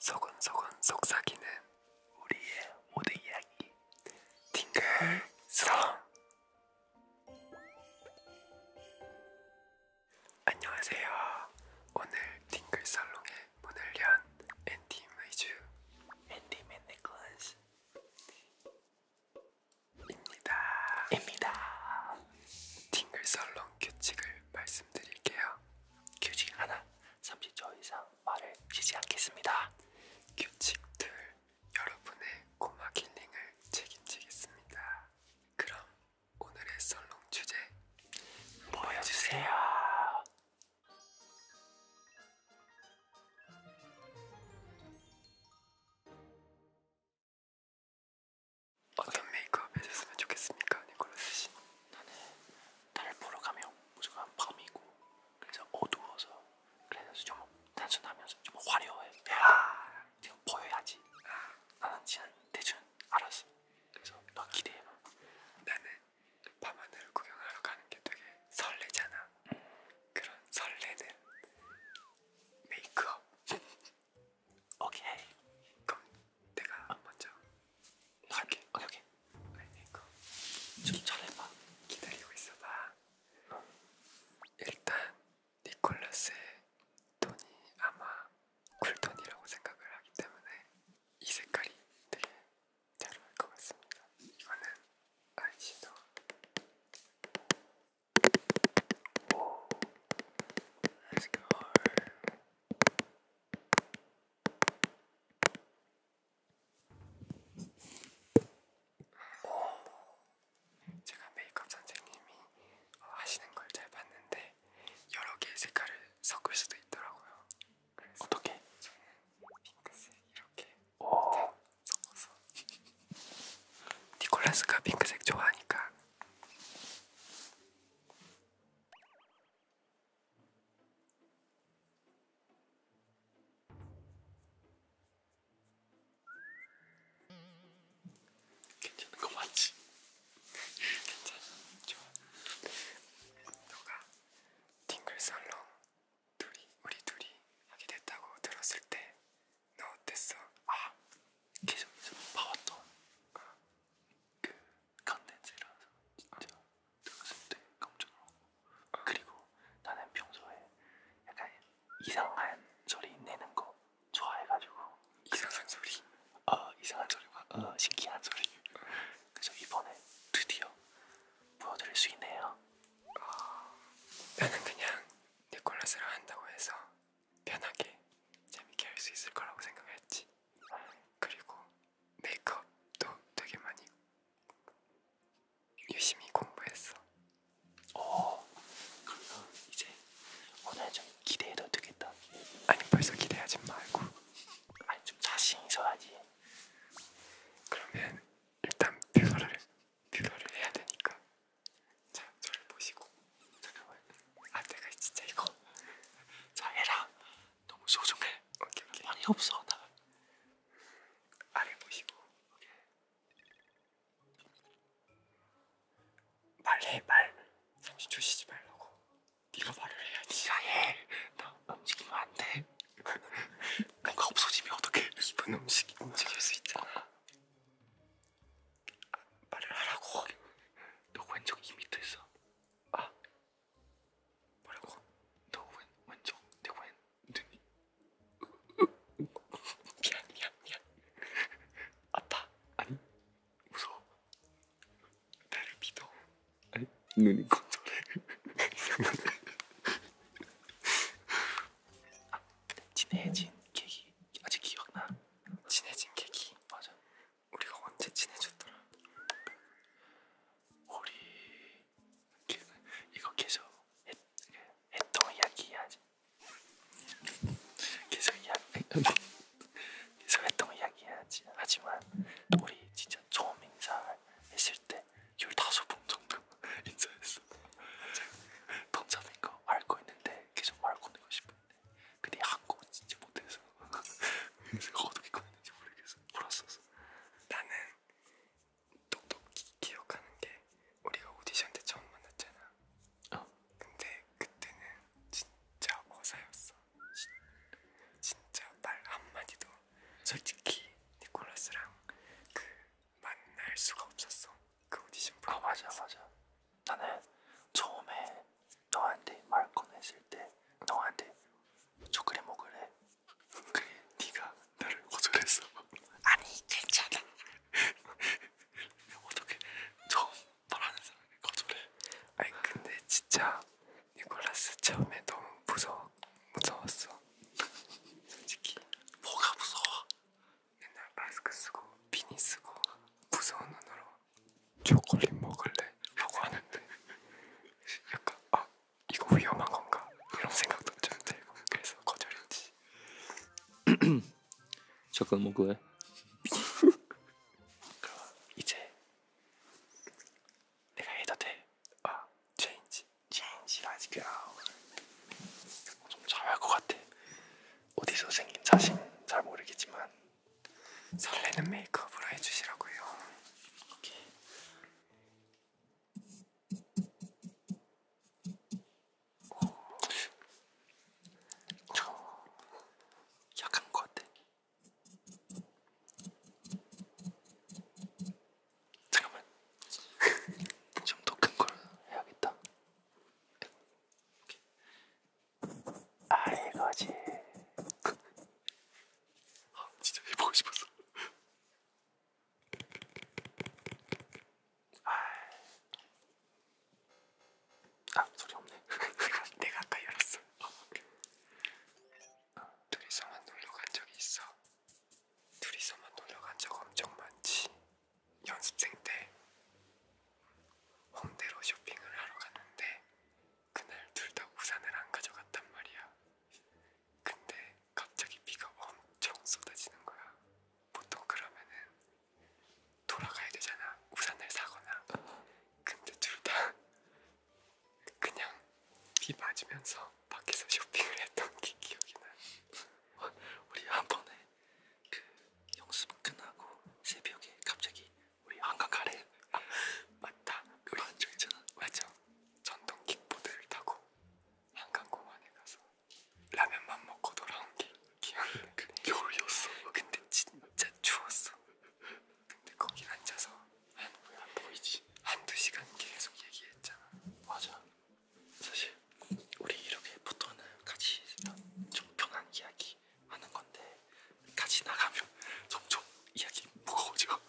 소곤소곤 속삭이는 우리의 모든 이야기 팅글송 안녕하세요 오늘 팅글살롱의 문을 연 앤디 메이즈 앤디 맨네클스 입니다 입니다 팅글살롱 규칙을 말씀드릴게요 규칙 하나 30초 이상 말을 쉬지 않겠습니다. 규칙들 여러분의 고막 힐링을 책임지겠습니다. 그럼 오늘의 썰롱 주제 보여주세요. 어떤 메이크업 해줬으면 좋겠습니까, 니콜라스 씨? 나는 달을 보러 가면 무조건 밤이고 그래서 어두워서 그래서 좀 단순하면서 좀 화려해 아, 지금 보여야지 나는 지금 대충 알았어 그래서 너 기대해봐 나는 밤하늘을 구경하러 가는 게 되게 설레잖아 응. 그런 설레는 메이크업 오케이 그럼 내가 어. 먼저 나갈게. 오케이 오케이. 그러니까 좀 잘해봐. 기다리고 있어봐. 어. 일단 니콜라스의 톤이 아마 쿨톤이라고 생각을 하기 때문에 이 색깔이 되게 잘 어울릴 것 같습니다. 이거는 아이섀도우. Let's go. 제가 메이크업 선생님이 어, 하시는 걸 잘 봤는데 여러 개의 색깔을 섞을 수도 있더라고요. 그래서 어떻게? 저는 핑크색 이렇게 섞어서 니콜라스가 핑크색 좋아하니까 괜찮은 거 맞지? 괜찮아, 좋아. 너가 팅글 살롱 둘이 우리 둘이 하게 됐다고 들었을 때 너 어땠어? 아, 계속 계속 봐왔던 어. 그 컨텐츠라서 진짜. 아. 들었을 네, 때 깜짝 놀랐고 그리고 나는 평소에 약간 이상한 소리 내는 거 좋아해가지고 이상한 소리? 어 이상한 소리와 어, 신기한 소리 그래서 이번에 드디어 보여드릴 수 있네요 어, 나는 그냥 니콜라스를 한다고 해서 편하게 재밌게 할 수 있을 거라고 생각했지 그리고 메이크업도 되게 많이 유심히 공부했어. 어, 그러면 이제 오늘 좀 기대해도 되겠다. 아니 벌써 기대하지 말고. 아니 좀 자신 있어야지. 그러면 일단 뷰러를 뷰러를 해야 되니까. 자, 저를 보시고 잠깐만. 아, 내가 진짜 이거. 자, 해라. 너무 소중해. 오케이 오케이. 많이 없어 나. 아래 보시고. 오케이. 말해 말. 30초 쉬지 말라고. 네가 말을 해야지. 야 해. 나 움직이면 안 돼. 뭔가 없어지면 어떡해. 입은 움직이 움직일 수 있잖아. 어. 아, 말을 하라고. 너 왼쪽 이 밑에 있어. 아, 뭐라고? 너웬 완전 내웬 눈이 미안 미안 미안 아파 아니 무서워 나를 믿어 아니 눈이 건조해 아, 진해진 계기 아직 기억나? 진해진 계기 맞아 우리가 언제 친해졌더라? 우리 이거 계속 했, 그, 했던 이야기 해야지. 계속 이야기 계속 했던 이야기 해야지. 하지만 우리 진짜 처음 인사했을 때 열다섯 분 정도 인사했어. 던잡인 거 알고 있는데 계속 말 건네고 싶은데 근데 한국어 진짜 못해서 그래서 어떻게 건네는지 모르겠어. 울었었어. 나는 똑똑히 기억하는 게 우리가 오디션 때 처음 만났잖아. 어. 근데 그때는 진짜 어사였어. 시, 진짜 말 한마디도 솔직히 니콜라스랑 그 만날 수가 없었어. 그 오디션 프로그램에서. 아 맞아 맞아. 나는 처음에 너한테 말 꺼냈을 때 너한테 초콜릿 먹을래? 그래 네가 나를 거절했어 아니 괜찮아 어떻게 처음 말하는 사람이 거절해 아니 근데 진짜 니콜라스 처음에 너무 무서워 무서웠어 솔직히 뭐가 무서워? 맨날 마스크 쓰고 비니 쓰고 무서운 언어로 초콜릿 먹을래? 하고 하는데 약간 아 이거 위험한 건가? 이런 생각도 좀 들고 그래서 거절했지. 잠깐 먹을래? 뭐 그럼 이제 내가 해도 돼. 아 체인지 체인지 라지가 좀 잘할 것 같아. 어디서 생긴 자신 잘 모르겠지만 설레는 메이크업으로 해주시라고요. 오케이. 오. 저 약한 것 같아. 잠깐만. 좀 더 큰 걸 해야겠다. 오케이. 아 이거지. 아 진짜 해보고 싶었어. 아 소리 없네. 내가 내가 아까 열었어. 아, 둘이서만 놀러 간 적이 있어. 둘이서만 놀러 간 적 엄청 많지. 연습생 때 홍대로 쇼핑을 하러 갔는데 그날 둘 다 우산을 안 가져갔단 말이야. 근데 갑자기 비가 엄청 쏟아지는 거야. 보통 그러면은 돌아가야 되잖아. 우산을 사거나. 근데 둘 다 그냥 비 맞으면서 밖에서 쇼핑을 했던 게 기억이 나. 우리 한 번에 그 영습 끝나고 새벽에 갑자기 우리 한강 가래. 아, 맞다. 그거 안쪽 있잖아. 맞죠. 전동 킥보드를 타고 한강공원에 가서 라면만 먹고 돌아온 게 기억나. 그 겨울이었어. 어, 근데 진짜 추웠어. 근데 거기 앉아서 한안 보이지. 한 두 시간 계속 얘기했잖아. 맞아. 사실 우리 이렇게 보통은 같이 좀 편한 이야기 하는 건데 까지 나가면 점점 이야기 무거워져.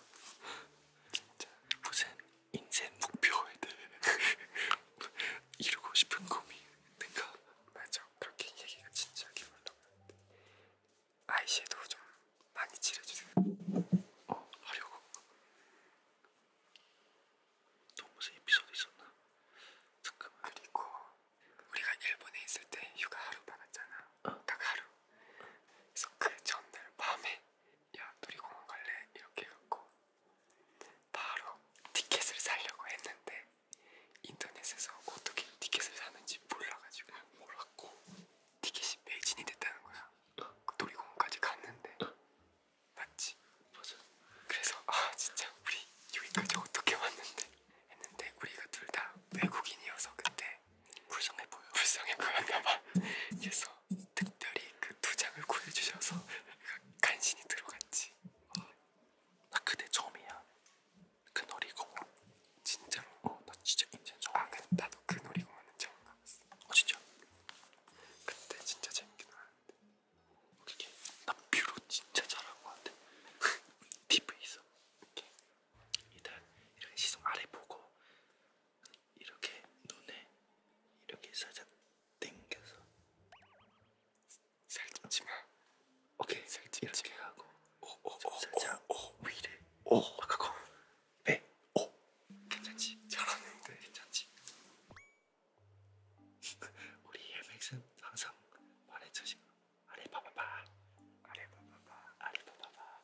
진짜 무슨 인생 목표에 대해 이루고 싶은 꿈이 있는가? 맞아. 그렇게 얘기가 진지하게 올라오는데 아이섀도우 좀 많이 칠해주세요. 어, 하려고. 또 무슨 에피소드 있었나? 잠깐만. 그리고 우리가 일본에 있을 때 휴가 하루 받았잖아. 어. 딱 하루. 그래서 그 전날 밤에 야 놀이공원 갈래 이렇게 갖고 바로 티켓을 사려고 했는데 인터넷에서 어떻게 티켓을 사는지 몰라가지고 몰랐고 티켓이 매진이 됐다는 거야. 어? 놀이공원까지 갔는데 어? 맞지? 맞아. 그래서 아 진짜 우리 여기까지 어떻게 왔는데 했는데 우리가 둘 다 외국인이어서 그때 되게 불쌍해 보여. 불쌍해 보였나봐. 그래서 특별히 그 두 장을 구해주셔서 간신히 들어갔지. 아, 나 그때 처음이야. 그 놀이공원. 진짜로? 어, 나 진짜 인제 처음. 아, 근데 그, 나도 그 놀이공원은 처음 가봤어. 어, 진짜? 그때 진짜 재밌게 놀았는데. 그게 나 뷰로 진짜 잘한 것 같아. TV 있어. 이렇게 일단 이렇게 시선 아래 보고 이렇게 눈에 이렇게 살짝 당겨서 살찜지마 오케이 살찜지 하고 오오오오오 오, 위래 오 아까고 배오 네. 괜찮지 잘하는데 괜찮지 우리 헬맥은 항상 말해주시고 아래 봐봐봐 아래 봐봐봐 아래 봐봐봐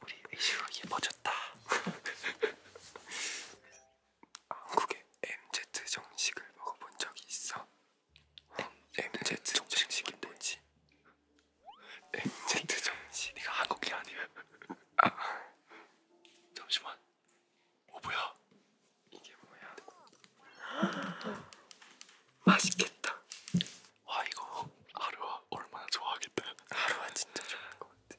우리 에이슈가 예뻐졌다. 한국에 MZ 정식을 먹어본 적이 있어. 어, MZ 정식이 뭐지? MZ 정식. 네가 한국이 아니야. 아. 잠시만. 어 뭐야? 이게 뭐야? 맛있겠다. 와 이거 하루아 얼마나 좋아하겠다. 하루아 진짜 좋아할 것 같아.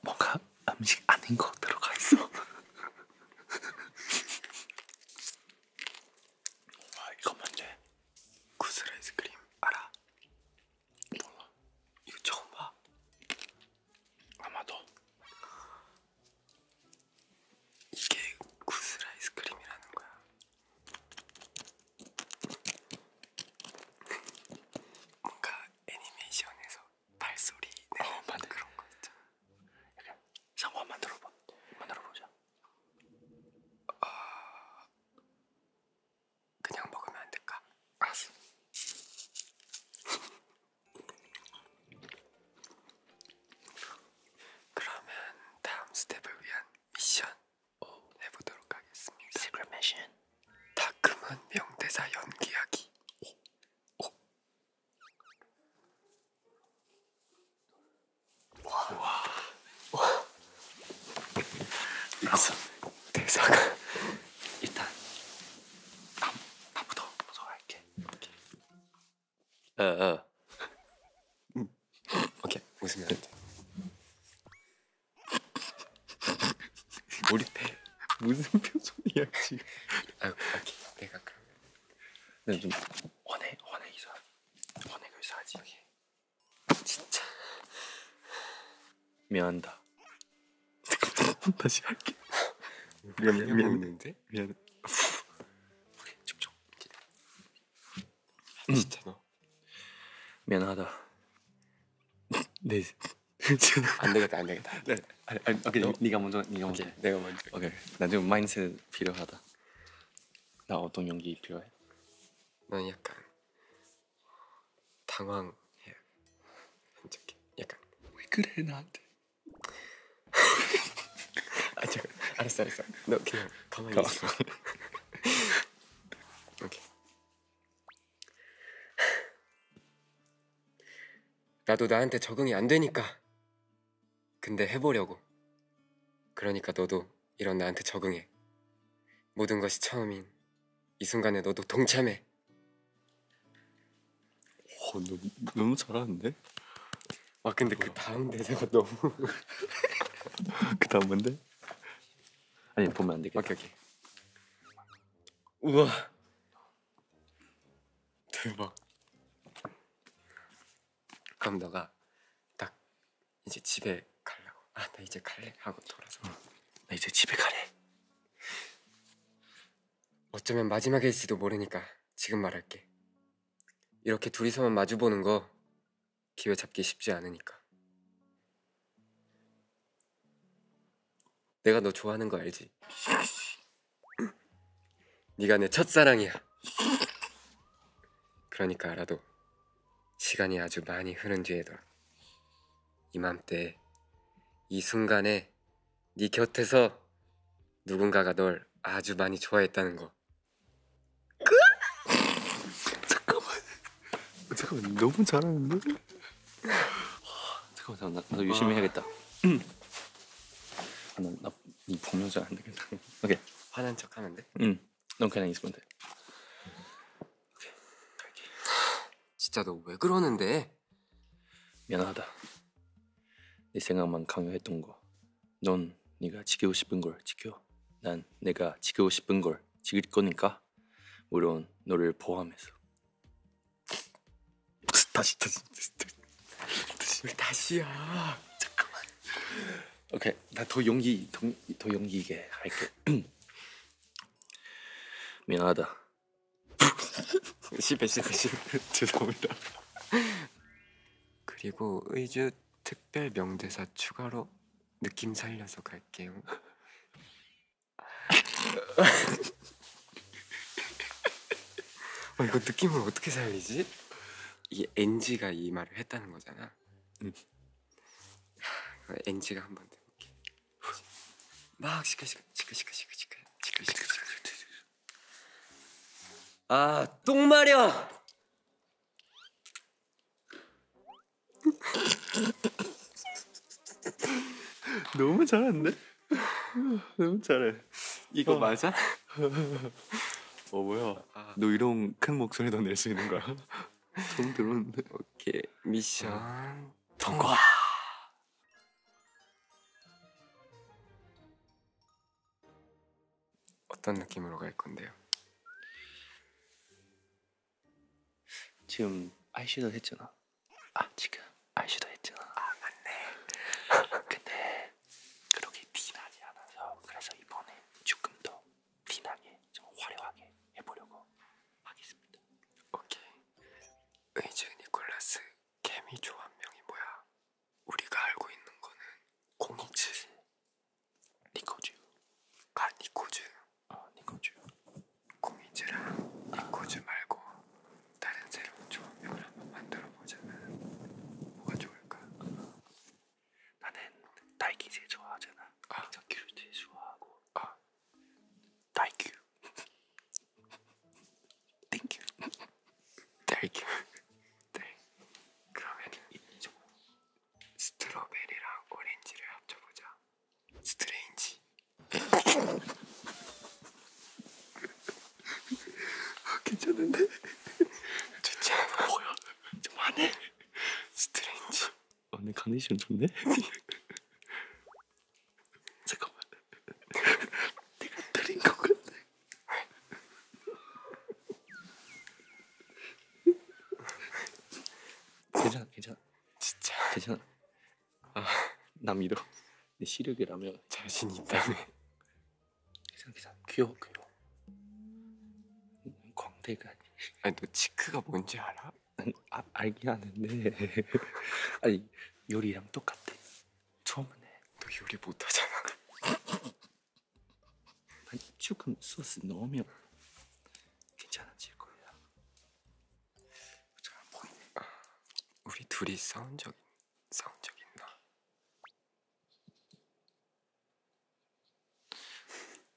뭔가 음식 아닌 거 들어가 있어. 와 이거 뭔데? 구슬 아이스크림 알아? 몰라. 이거 처음 봐. 아마도 이게 구슬 아이스크림이라는 거야. 뭔가 애니메이션에서 발소리 내는 어, 그런 거 있잖아. 약간 상호 만들어봐. 만들어보자. 어... 아, 그냥 먹으면 안 될까? 알았어. 그러면 다음 스텝을 위한 미션 오. 해보도록 하겠습니다. 시그릿 미션. 다크만 명대사 연기하기. 오. 오. 와. 와. 와. 이거 대사가 일단 나, 나부터 무서워할게. 어, 어. 음. 오케이, 웃으면 안 돼. 우리 무슨 표정이야 지금? 아, 오케이, 내가 그러면. 난좀 네, 원해, 원해 이사, 원해 교사지. 그 진짜. 미안다. 다시 할게. 미안 미안 미안 있는데 미안. 오케이 집중. 음. 진짜 너. 미안하다. 네. 안 되겠다 안 되겠다. 네. 아니, 아니, 오케이 너, 네가 먼저 네가 먼저. 오케이. 내가 먼저. 오케이. 나좀 마인드 필요하다. 나 어떤 연기 필요해? 난 약간 당황해요. 이렇게 약간 왜 그래 나한테? 아 잠깐 알았어 알았어. 너 그냥 가만히 가만. 있어. 오케이. 나도 나한테 적응이 안 되니까. 근데 해보려고. 그러니까 너도 이런 나한테 적응해. 모든 것이 처음인 이 순간에 너도 동참해. 오, 어, 너무, 너무 잘하는데? 아 근데 그 다음 대사가 너무 그 다음 뭔데? 아니 보면 안 되겠다. 오케이 오케이. 우와 대박. 그럼 너가 딱 이제 집에 가려고 아 나 이제 갈래 하고 돌아서 나 이제 집에 가래 어쩌면 마지막일지도 모르니까 지금 말할게. 이렇게 둘이서만 마주보는 거 기회 잡기 쉽지 않으니까. 내가 너 좋아하는 거 알지? 네가 내 첫사랑이야. 그러니까 알아도 시간이 아주 많이 흐른 뒤에도 이맘때 이 순간에 네 곁에서 누군가가 널 아주 많이 좋아했다는 거. 그? 잠깐만. 잠깐만 너무 잘하는데? 잠깐만 잠깐만 나, 도 유심히 아. 해야겠다. 아, 나, 나, 이 복면자 안 되겠다. 오케이. 화난 척 하면 돼? 응. 넌 그냥 있으면 돼. 오케이. 갈게. 진짜 너 왜 그러는데? 미안하다. 네 생각만 강요했던 거. 넌 네가 지키고 싶은 걸 지켜. 난 내가 지키고 싶은 걸 지킬 거니까. 물론 너를 포함해서. 다시 다시 다시 다시. 왜 다시야? 잠깐만. 오케이 나 더 용기 더, 더 용기 있게 할게. 미안하다. 실패 실패 실패 죄송합니다 그리고 의주 특별 명대사 추가로 느낌 살려서 갈게요 어, 이거 느낌을 어떻게 살리지? 이 NG가 이 말을 했다는 거잖아 응. 음. NG가 한번 해볼게 막 시끌시끌 시끌시끌 시끌 시끌시끌 시끌시끌 아 똥마려 너무 잘한데 너무 잘해 이거 맞아? 어 뭐야 너 이런 큰 목소리도 낼 수 있는 거야? 처음 들었는데 오케이 미션 통과 어떤 느낌으로 갈 건데요? 지금 아이섀도우 했잖아. 아, 아 지금 아이섀도우 했잖아. 아 맞네. 근데 그렇게 티나지 않아서 그래서 이번에 조금 더 티나게 좀 화려하게 해보려고 하겠습니다. 오케이. 의주 니콜라스 개미조 한 명이 뭐야? 우리가 알고 있는 거는 공이지. 니코즈. 아 니코즈. 아 니코즈. 공이즈랑 니코즈 말고 다른 새로운 조합명을 한번 만들어 보자면 뭐가 좋을까? 나는 딸기 제일 좋아하잖아. 아. 큐 제일 좋아하고. 아. 딸기. Thank you. Thank you. 네. 그러면은 스트로베리랑 오렌지를 합쳐보자. 스트레인지. 아, 괜찮은데? 좋지 않아? 뭐야? 좀 안해? 스트레인지. 오늘 아, 컨디션 좋네? 잠깐만. 내가 들린 것 같네. 괜찮아, 괜찮아. 진짜. 괜찮아. 아, 나 믿어. 내 시력이라면 자신 있다며. 괜찮아, 괜찮아. 귀여워, 귀여워. 광대가 아니. 아니 너 치크가 뭔지 알아? 아, 알긴 하는데 아니 요리랑 똑같아 저번에 너 요리 못하잖아. 조금 소스 넣으면 괜찮아질 거야. 잘안 보이네. 우리 둘이 싸운 적 싸운 적 있나?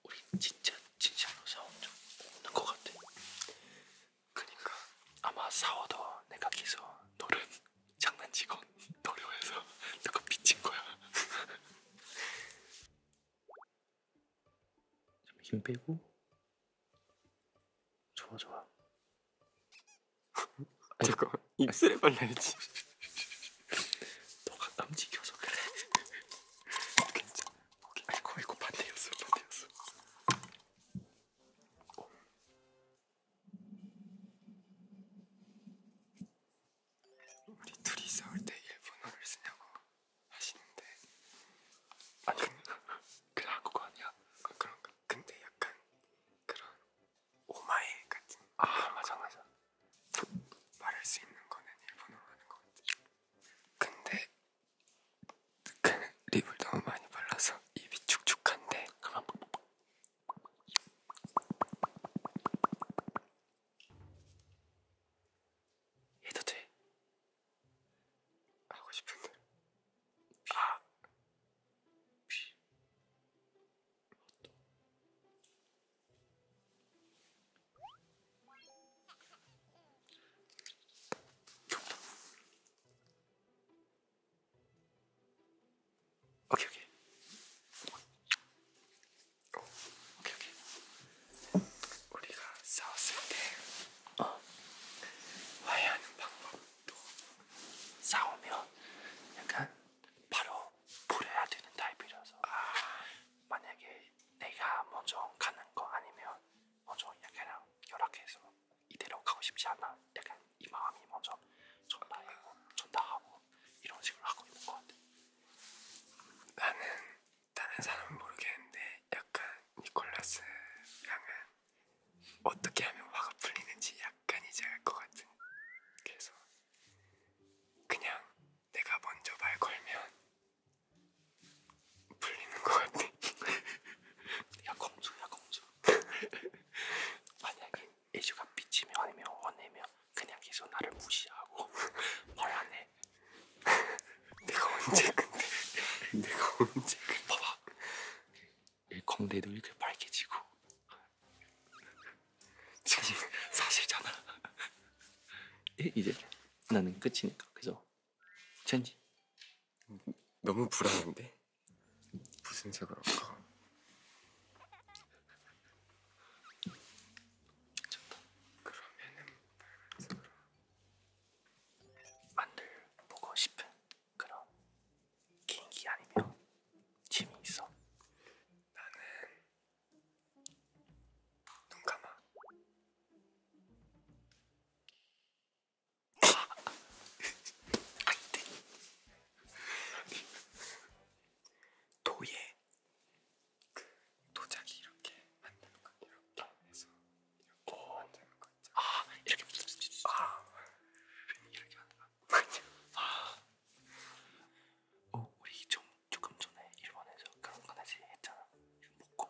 우리 진짜 진짜로 싸운 적 없는 것 같아. 그니까 아마 싸워도 내가 계속 너를 장난치고 노려해서 너가 미친 거야. 좀힘 빼고 좋아 좋아. 잠깐 입술에 발라야지. 너가 남지켜서 그래. 괜찮아. 아이고 이거 반대였어 반대였어. 우리 둘이 싸울 때 일본어를 쓰냐고 하시는데 아니 그 한국어 아니야? 아, 어, 그런가? 근데 약간 그런 오마에 같은 아 맞아 맞아 말할 수 있는 거는 일본어로 하는 것 같아 근데 립을 너무 많이 발라서 입이 축축한데 그만. 해도 돼? 하고 싶은 대로 아! 피. 오케이 오케이. 오케이 오케이. 우리가 싸웠을 때 어. 화해하는 방법도 싸우면 약간 바로 풀어야 되는 타입이라서 아. 만약에 내가 먼저 뭐 가는 거 아니면 먼저 뭐 약간 연락해서 이대로 가고 싶지 않아. 약간 이 마음이 먼저 전달하고 전달하고 이런 식으로 하고 있는 것 같아. 나는 다른 사람은 모르겠는데 약간 니콜라스 양은 어떻게 하면 화가 풀리는지 약간 이제 알 것 같은. 그래서 그냥 내가 먼저 말 걸면 풀리는 것 같아. 야 공주, 야 공주. 만약에 애주가 삐치면 아니면 화내면 그냥 계속 나를 무시하고 말안 해. 내가 언제 근데 내가 언제 그 봐봐 광대도 이렇게 빨개지고 사실 사실잖아. 이제 나는 끝이니까 그죠? 천지. 너무 불안한데. 무슨 색으로 할까? 좋다. 그러면은 빨간색으로 만들보고 싶은 그런 개인기 아니면 취미 있어? 나는 눈 감아. 아, 네. 도예 그 도자기 이렇게 만드는 거 이렇게 해서 이렇게 오. 만드는 거 있죠. 아 이렇게 아 이렇게 하는 거 맞아. 아. 어 우리 좀 조금 전에 일본에서 그런 거 다시 했잖아. 목공.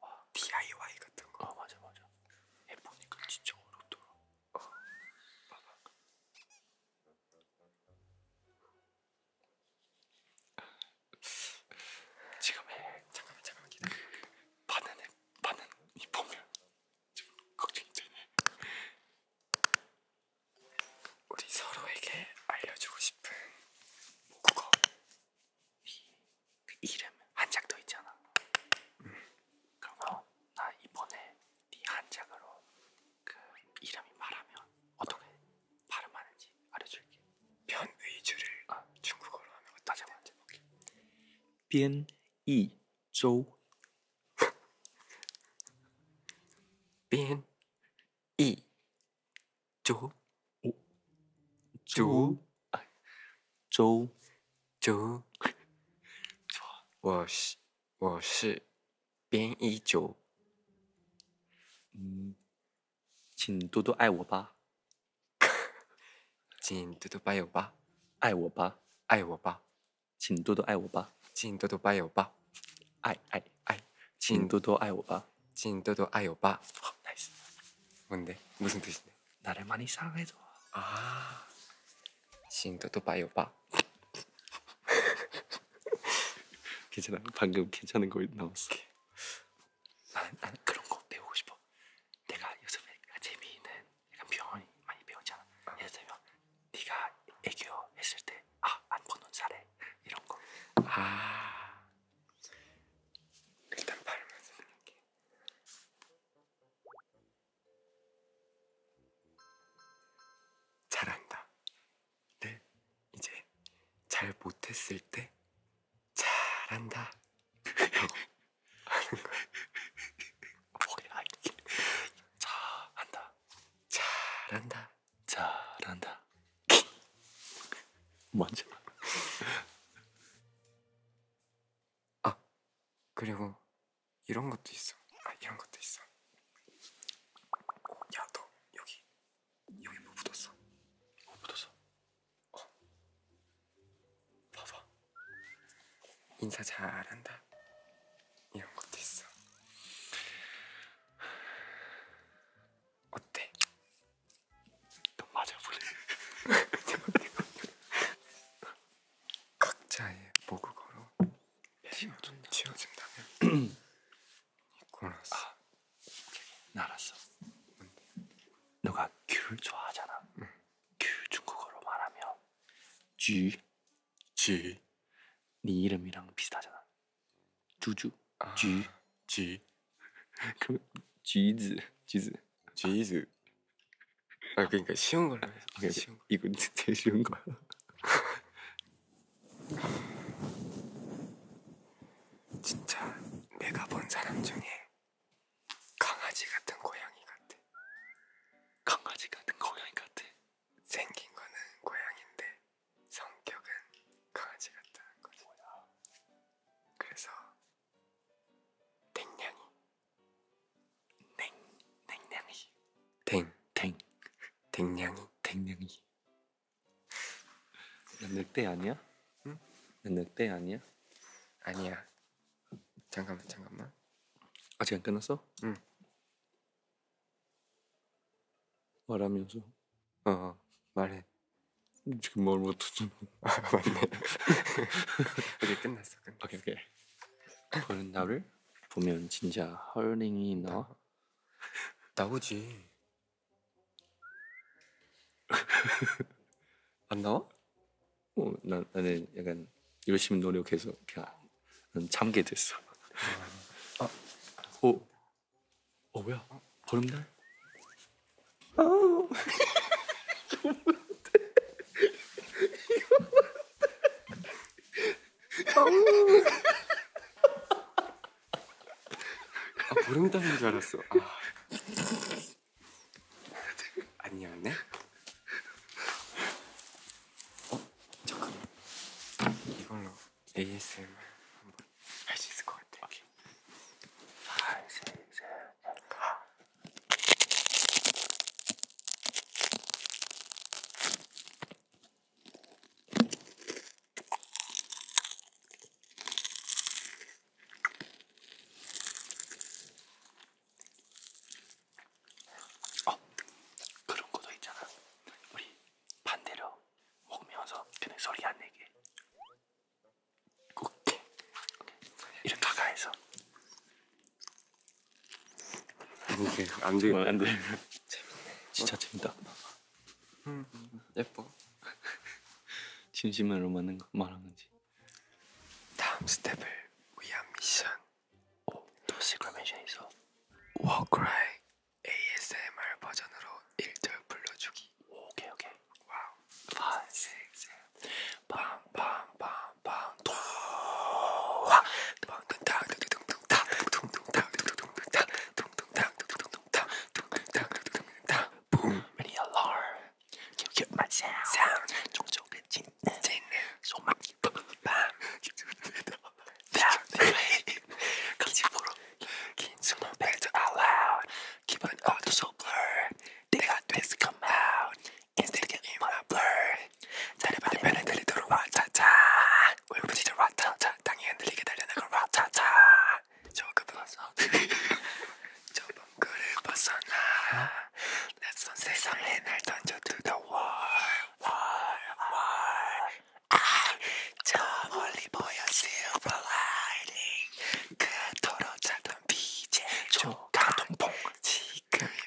아, 와 DIY 같은 거. 아 맞아 맞아. 진짜 해보니까 진짜 어렵더라 어, 봐봐 지금 해 잠깐만 잠깐만 기다려 반은 해 반은 이 보면 지금 걱정이 되네 우리 서로에게 알려주고 싶은 모국어 이그 이름 한장 더 있잖아. 음. 그러면 나 이번에 네 한장으로 그 이름이 말하면 어떻게 발음하는지 알려줄게. 변의주를 아, 어. 중국어로 하면 다시 한번 해볼게. 변의조. 변의조. 조. 周周，我是我是编一九，嗯，请多多爱我吧，请多多包容吧，爱我吧，爱我吧，请多多爱我吧，请多多包容吧，爱爱爱，请多多爱我吧，请多多爱我吧。nice，问데무슨뜻인 나를 많이 사랑해줘. 아, 싱도도 봐요 봐. 괜찮아, 방금 괜찮은 거 나왔어. 나는, 나는 그런 거 배우고 싶어. 내가 요즘에 재미있는 약간 표현 많이 배우잖아. 아. 예를 들면 네가 애교 했을 때 아, 안 보는 사례 이런 거. 아, 일단 발음을 생각해. 잘한다. 를 네, 이제 잘 못했을 때 잘한다. 라고 어. 하는 거야. 뭐야 이게. 잘한다. 잘한다. 잘한다. 먼저. 아 그리고 이런 것도 있어. 아 이런 것도 있어. 야너 여기 여기 뭐 묻었어? 뭐 묻었어? 어 봐봐. 인사 잘한다. 이런 것도 있어. 어때? 너 맞아볼래? 각자의 모국어로 지어진다면 니콜라스 아, 나 알았어 뭔데? 너가 귤 좋아하잖아 응. 귤 중국어로 말하면 쥐 쥐. 네 이름이랑 비슷하잖아 주주 아, 쥐 쥐. 그럼 쥐즈 쥐즈 쥐즈 아 그러니까 쉬운 걸로 해서 오케이, 아, 그러니까 쉬운 거. 이거 제일 쉬운 거야. 진짜 내가 본 사람 중에 강아지 같은 고양이 같아. 강아지 같은 고양이 같아. 생긴 거는 고양인데 성격은 강아지 같다는 거지. 그래서 땡냥이 땡 땡냥이 땡땡 땡냥이 땡냥이 너 늑대 아니야? 응? 너 늑대 아니야? 아니야 잠깐만 잠깐만 아직 안 끝났어? 응 말하면서 어, 어 말해 지금 뭘 못하잖아 아 맞네 이제 끝났어 끝났어 오케이 오케이 그런 나를 보면 진짜 헐링이 나와? 나오지. 안 나와? 어, 난, 나는 약간 열심히 노력해서 그냥 난 잠게 됐어. 아, 아. 어, 어 뭐야? 보름달? 아, 아, 보름 담인 줄 알았어. 아. 아니었네. 어, 잠깐. 이걸로 ASMR 한 번 할 수 있을 것 같아. 오케이. 하나, 둘, 셋, 넷, 어, 그런 것도 있잖아. 우리 반대로 먹으면서 그냥 소리 안 내게. 오케이. 오케이. 이렇게 가까이서 이게 안 되겠다. 안 돼. 진짜 재밌다. 음, 예뻐. 진심으로 맞는 거 말하는지. 다음 스텝을 위한 미션. 오, 도시가 미션 있어. 워크라이 ASMR 버전으로 1절 불러주기. 오, 오케이 오케이. 와우. 파, 세, 세. 빰빰빰. Boom. Ready alarm. You get my sound. Sound. out loud. Keep an auto so blur. They got this come out. 인스테리트 인플루블 자리바리 변해 들리도록 와차차 울부짖어 와차차 땅이 흔들리게 달려나가 와차차 저급 벗어 좁은 꿀을 벗어나 낯선 세상에 날 던져 두더월월월아저 멀리 보여 silver lining 그토록 찾던 빛의 조가동봉 지금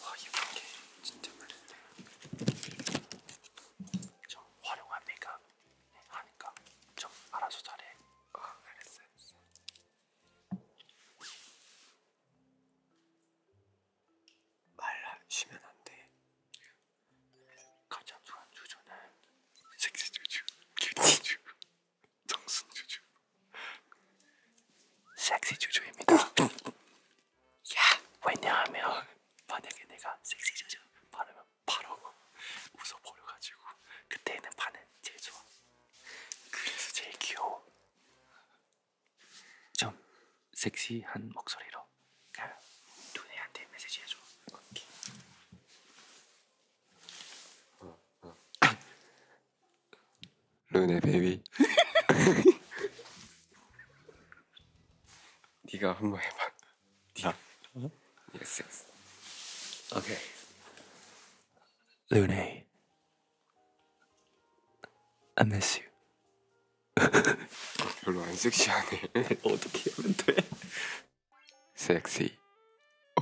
와 이런 게 진짜 많은데 저 활용합니까? 네, 하니까 좀 알아서 잘해. 아, 알았어요. 말하시면 안 돼. 가장 좋아하는 주조는 섹스주주, 큐티주 정순 주주 섹시 주주입니다. 야, 왜냐하면 만약에 내가 섹시 주주 바르면 바로 웃어버려 가지고 그때는 반응 제일 좋아. 그래서 제일 귀여워. 좀 섹시한 목소리로 눈에 한테 메시지 해줘. 오케이. 르네 베이비 네가 한번 해봐 네가 예스 예스 오케이 르네 I miss you 별로 안 섹시하네 어떻게 하면 돼 섹시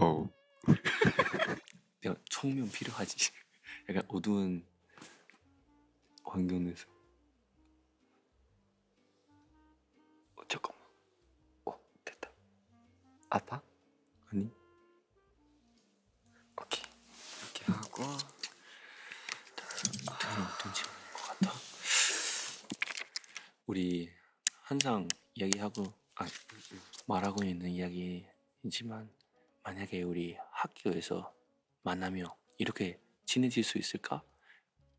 오 oh. 내가 청면 필요하지. 약간 어두운 환경에서. 어, 잠깐만. 어, 됐다. 아파? 아니. 오케이. 이렇게 하고. 아, 돈 채우는 것 같아. 우리 항상 이야기하고 아니, 말하고 있는 이야기이지만 만약에 우리 학교에서 만나며 이렇게 친해질 수 있을까?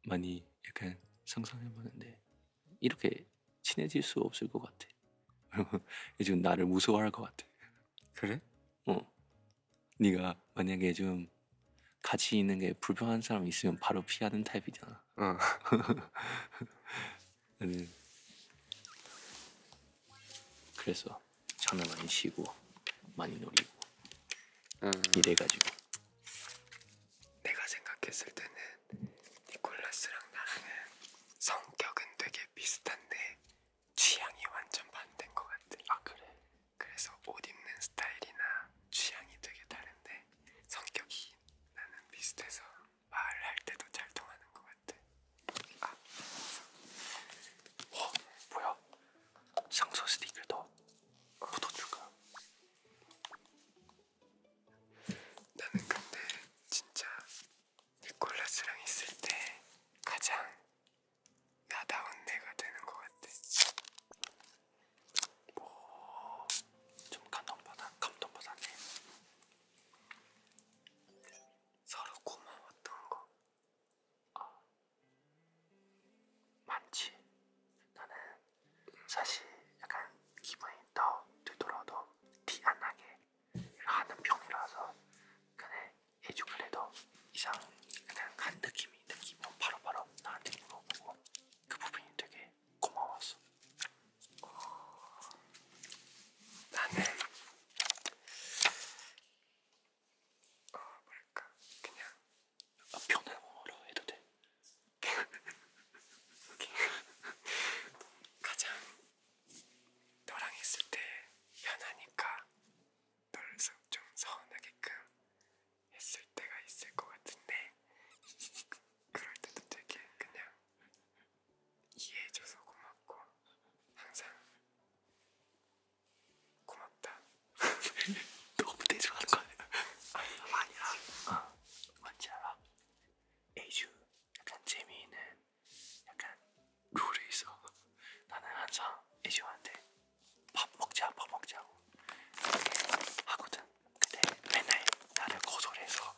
많이 약간 상상해보는데 이렇게 친해질 수 없을 것 같아. 지금 나를 무서워할 것 같아. 그래? 어. 네가 만약에 좀 같이 있는 게 불편한 사람 있으면 바로 피하는 타입이잖아. 어. 음. 그래서 잠을 많이 쉬고 많이 놀이고 음. 이래가지고 내가 생각했을 때는 니콜라스랑 나랑은 성격은 되게 비슷한데 취향이 완전 반대인 것 같아. 아 그래? 그래서 옷 입는 스타일이나 취향이 되게 다른데 성격이 나는 비슷해서 말할 때도 잘 통하는 것 같아. 아, 어, 뭐야? 상소 스틱을 더 묻어줄까? 나는 근데 진짜 니콜라스랑 있을 때 가장 나다운 내가 되는 것 같아. 뭐, 좀 감동받아, 감동받았네. 서로 고마웠던 거 어, 많지. 나는 사실 약간 기분이 더 되돌아도 티 안 나게 하는 편이라서 그냥 해주 그래도 이상 그냥 간 느낌이 느낌으로 뭐 바로바로 바로 나한테 물어보고 그 부분이 되게 고마웠어. 나는 어 뭐랄까 그냥 아, 편한 언어로 해도 돼. 가장 너랑 있을 때 편하니까 너를 좀 서운하게끔 했을 때가 있을 것 같은데 그럴 때도 되게 그냥 이해해줘서 고맙고 항상 고맙다. 너무 대중하는 거 아니야? 아니야. 어. 뭔지 알아? 에이쥬 약간 재미있는 약간 룰이 있어. 나는 항상 에이쥬한테 밥 먹자, 밥 먹자고 하거든. 근데 맨날 나를 거절해서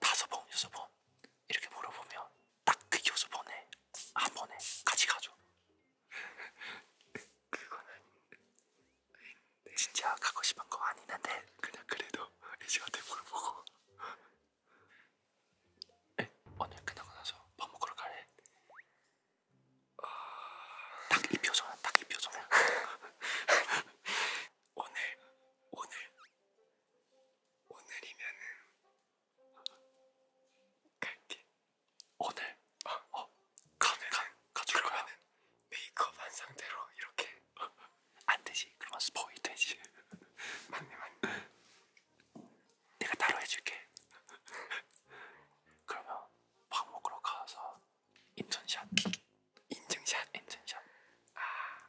다섯 번, 여섯 번 이렇게 물어보면 딱 그 교수번에 한 번에 같이 가죠. 그건 아닌데 진짜 갖고 싶은 거 아니는데 그냥 그래도 이 시간에 물어보고 에? 오늘 끝나고 나서 밥 먹으러 갈래? 어... 아. 딱이 표정은 딱이 표정은 오늘 오늘 오늘이면은 갈게. 오늘? 아, 어? 가면 가줄 거야? 메이크업 한 상태로 이렇게 안 되지. 그러면 스포일 되지. 맞네 맞네. 내가 따로 해줄게. 그러면 밥 먹으러 가서 인증샷. 인증샷? 인증샷. 아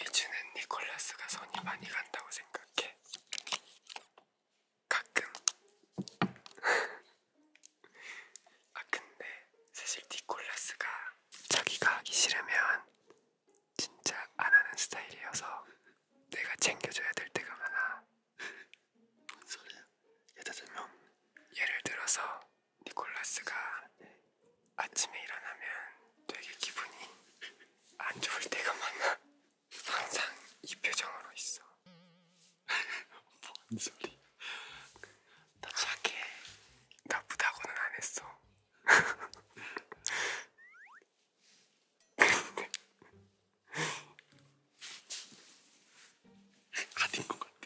이즈는 니콜라스가 손이 많이 간다고 생각해. 가끔. 아 근데 사실 니콜라스가 자기가 하기 싫으면 진짜 안 하는 스타일이어서 내가 챙겨줘야 될 때가 많아. 뭔 소리야? 예를 들어서 니콜라스가 아침에 일어나면 되게 기분이 안 좋을 때가 많아. 항상 이 표정으로 있어. 뭔 소리? 나 착해. 나쁘다고는 안 했어. 아닌 것 같아.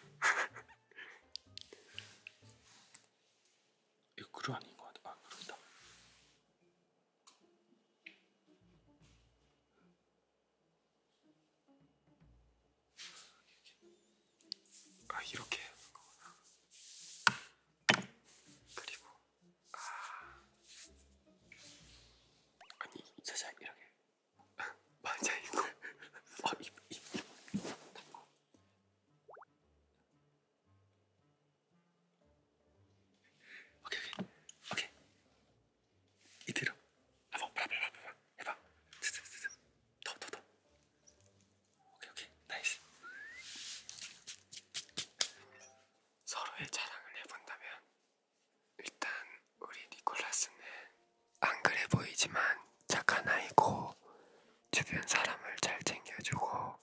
이거 그루 아닌 것 같아. 아 그루다. 아 이렇게 하는 거구나. 그리고 아 아니 진짜 이렇게 맞아 이거. 아입 입. 오케이 오케이 오케이 이대로 한번 봐봐 봐봐 봐봐 해봐 스스스스 더더더 오케이 오케이 나이스 서로의 자랑을 해본다면 일단 우리 니콜라스는 안 그래 보이지만 착한 아이고 주변 사람을 잘 챙겨주고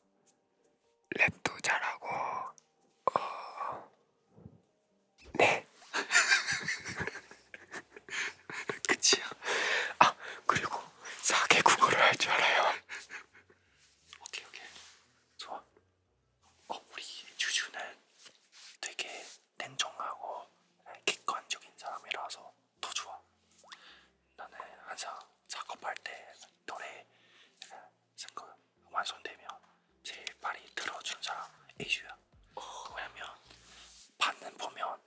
랩도 잘하고 어... 네 그치요? 아 그리고 사개국어를 할 줄 알아요 오케이 오케이 좋아 어, 우리 주주는 되게 냉정하고 객관적인 사람이라서 더 좋아. 나는 항상 작업할 때 노래 생각 예, 완성되면 제일 많이 들어준 사람 이슈야. 왜냐면 받는 보면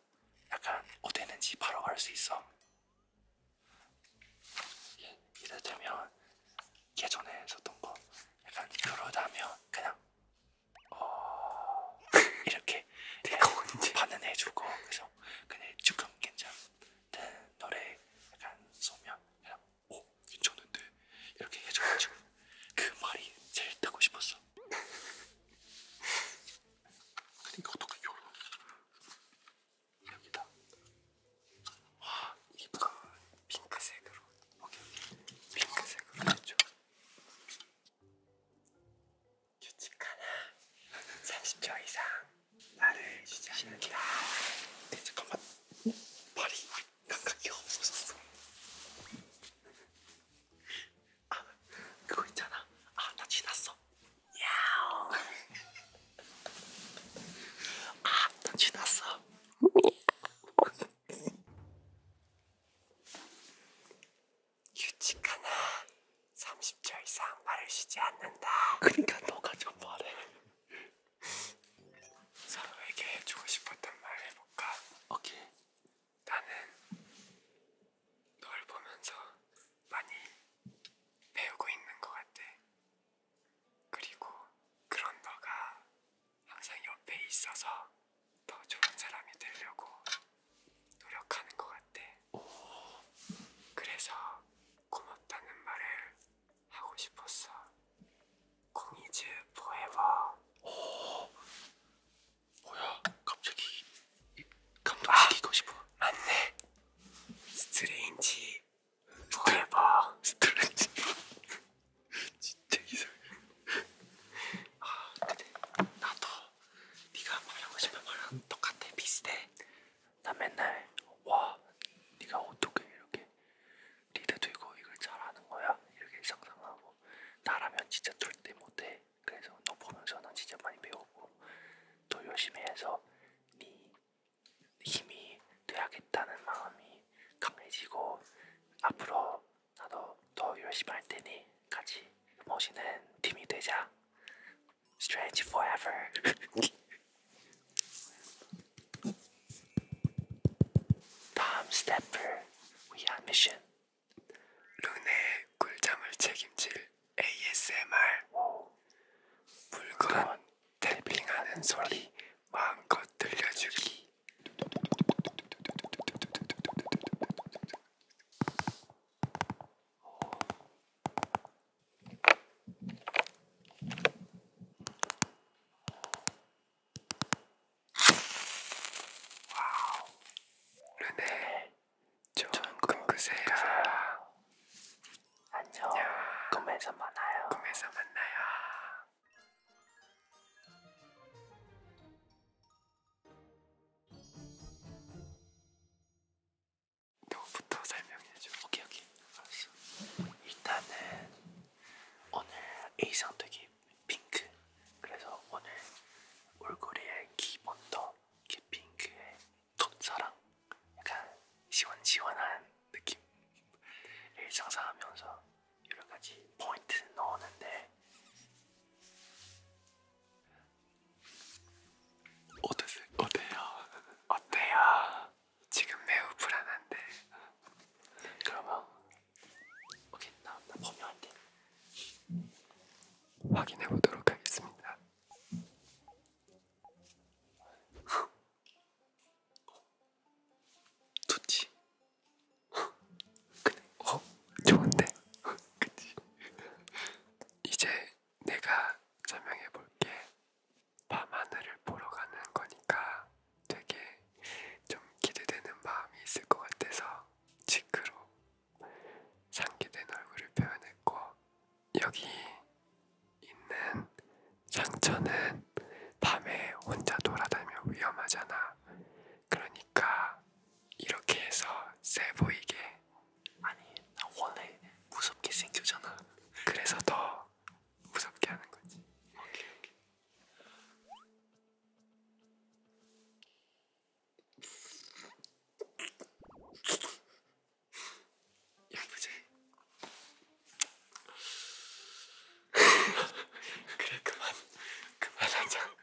약간 어땠는지 바로 알 수 있어. 예를 들면 예전에 썼던 거 약간 그러다면 그냥 어 이렇게 내가 받는 해주고 그래서 같아요. 근데 지금 괜찮은 노래 약간 쏘면 그냥 오 괜찮은데 이렇게 해줘가지고 그 말이 제일 듣고 싶었어. 그러니까 어떻게 요런 여기다 와 이쁘다 핑크색으로 오케이 핑크색으로 해줘. 규칙 하나 30초 이상 나를 유지하는다 네, 잠깐만 어? 발이 감각이 없어졌어 아 그거 있잖아 아나 지났어 야옹 아나 지났어 유칙 하나 30초 이상 말을 쉬지 않는다. 그러니까 너가 좀 말해. 서로에게 해주고 싶었던 말 해볼까? 오케이. 나는 널 보면서 많이 배우고 있는 것 같아. 그리고 그런 너가 항상 옆에 있어서 더 좋은 사람이 되려고 노력하는 것 같대. 그래서 고맙다는 말을 하고 싶었어. 공이즈 포에버. 뭐야? 갑자기 이- 감동시키고 아, 싶어. 맞네. 스트레인지 포에버. 스트레치. 진짜 이상해. 아, 근데 나도 네가 말하고 싶은 말랑 똑같아 비슷해. 나 맨날 와 네가 어떻게 이렇게 리드도 이거 이걸 잘하는 거야 이렇게 상상하고 나라면 진짜 절대 못해. 그래서 너 보면서 난 진짜 많이 배우고 또 열심히 해서 네 힘이 돼야겠다는 마음이 강해지고 앞으로 나도 더 열심히 할 테니 같이 멋있는 팀이 되자. Strange forever. 다음 스태플 위한 미션. 룬의 꿀잠을 책임질 ASMR. 오. 물건 탭핑하는 소리 마음껏 들려주기. 와우 르네 전금그세야 안녕 꿈에서 만나요 꿈에서 만나요 너부터 설명해줘. 오케이 오케이. 알았어. 일단은 오늘 A상특이 핑크. 그래서 오늘 얼굴에 기본도 핑크의 톱사랑 약간 시원시원한 느낌. 일상사하면서 여러 가지 포인트 넣었는데 어땠어요? 어때요? 어때요? 지금 매우 불안한데. 그러면 오케이 나, 나 범용할게. 확인해 보도록 하겠습니다. 좋지. 그래, 어, 좋은데, 그치? 이제 내가 설명해 볼게. 밤하늘을 보러 가는 거니까 되게 좀 기대되는 마음이 있을 것 같아서 지크로 상기된 얼굴을 표현했고 여기 있는 상처는 밤에 혼자 돌아다니며 위험하잖아. 그러니까 이렇게 해서 세 보이게 그래 아니 나 원래 무섭게 생겼잖아 그래서 더 무섭게 하는 거지 오케이 오케이 예쁘지? 그래 그만 그만하자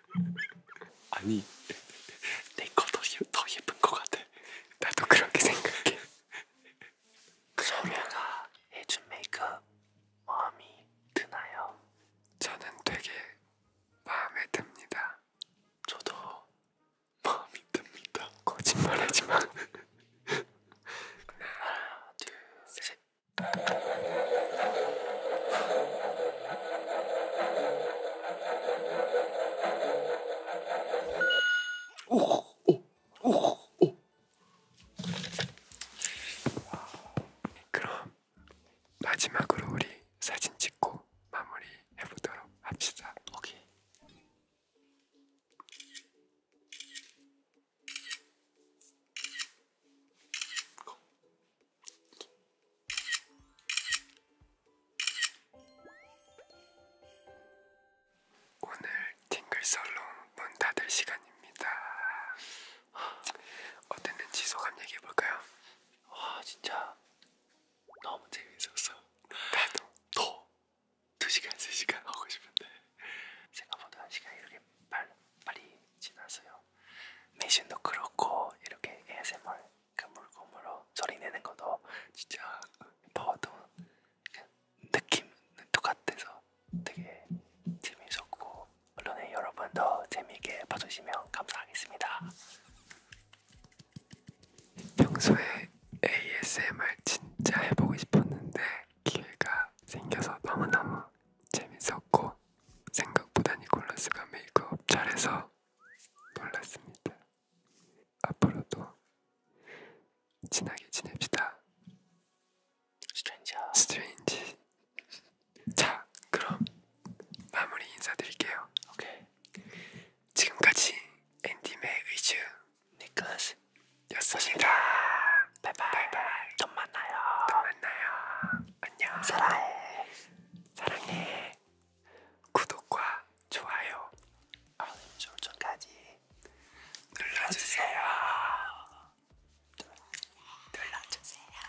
아니 내 거더 더 예쁜 거 같아. 나도 그렇게 생각해. 소녀가 해준 메이크업 마음이 드나요? 저는 되게 마음에 듭니다. 저도 마음이 듭니다. 거짓말하지 마. 하나, 둘, 셋. 그럼 마지막으로 우리 사진 찍고 마무리 해보도록 합시다. 오케이. 오늘 팅글설롱 문 닫을 시간입니다. 어땠는지 소감 얘기해볼까요? 와 진짜 너무 재밌었어. 나도 더 2시간 3시간 하고 싶은데 생각보다 시간이 이렇게 빨리, 빨리 지났어요. 매신도 그렇고 이렇게 ASMR 그 물고물로 소리내는 것도 진짜 봐도 느낌은 똑같아서 되게 재미있었고 물론 여러분도 재미있게 봐주시면 감사하겠습니다. 평소에 ASMR 진짜 해보고 싶었는데 기회가 생겨서 너무너무 재밌었고 생각보다 니콜라스가 메이크업 그 잘해서 놀랐습니다. 앞으로도 친하게 지냅시다. 스트레인지. 스트레인지. 자, 그럼 마무리 인사드릴게요. 오케이. 지금까지 앤디메 의즈 니클라스였습니다. 바이바이. 바이바이. 또 만나요. 또 만나요. 안녕. 사랑해. 사랑해. 구독과 좋아요, 알림 설정까지 눌러주세요. 눌러주세요.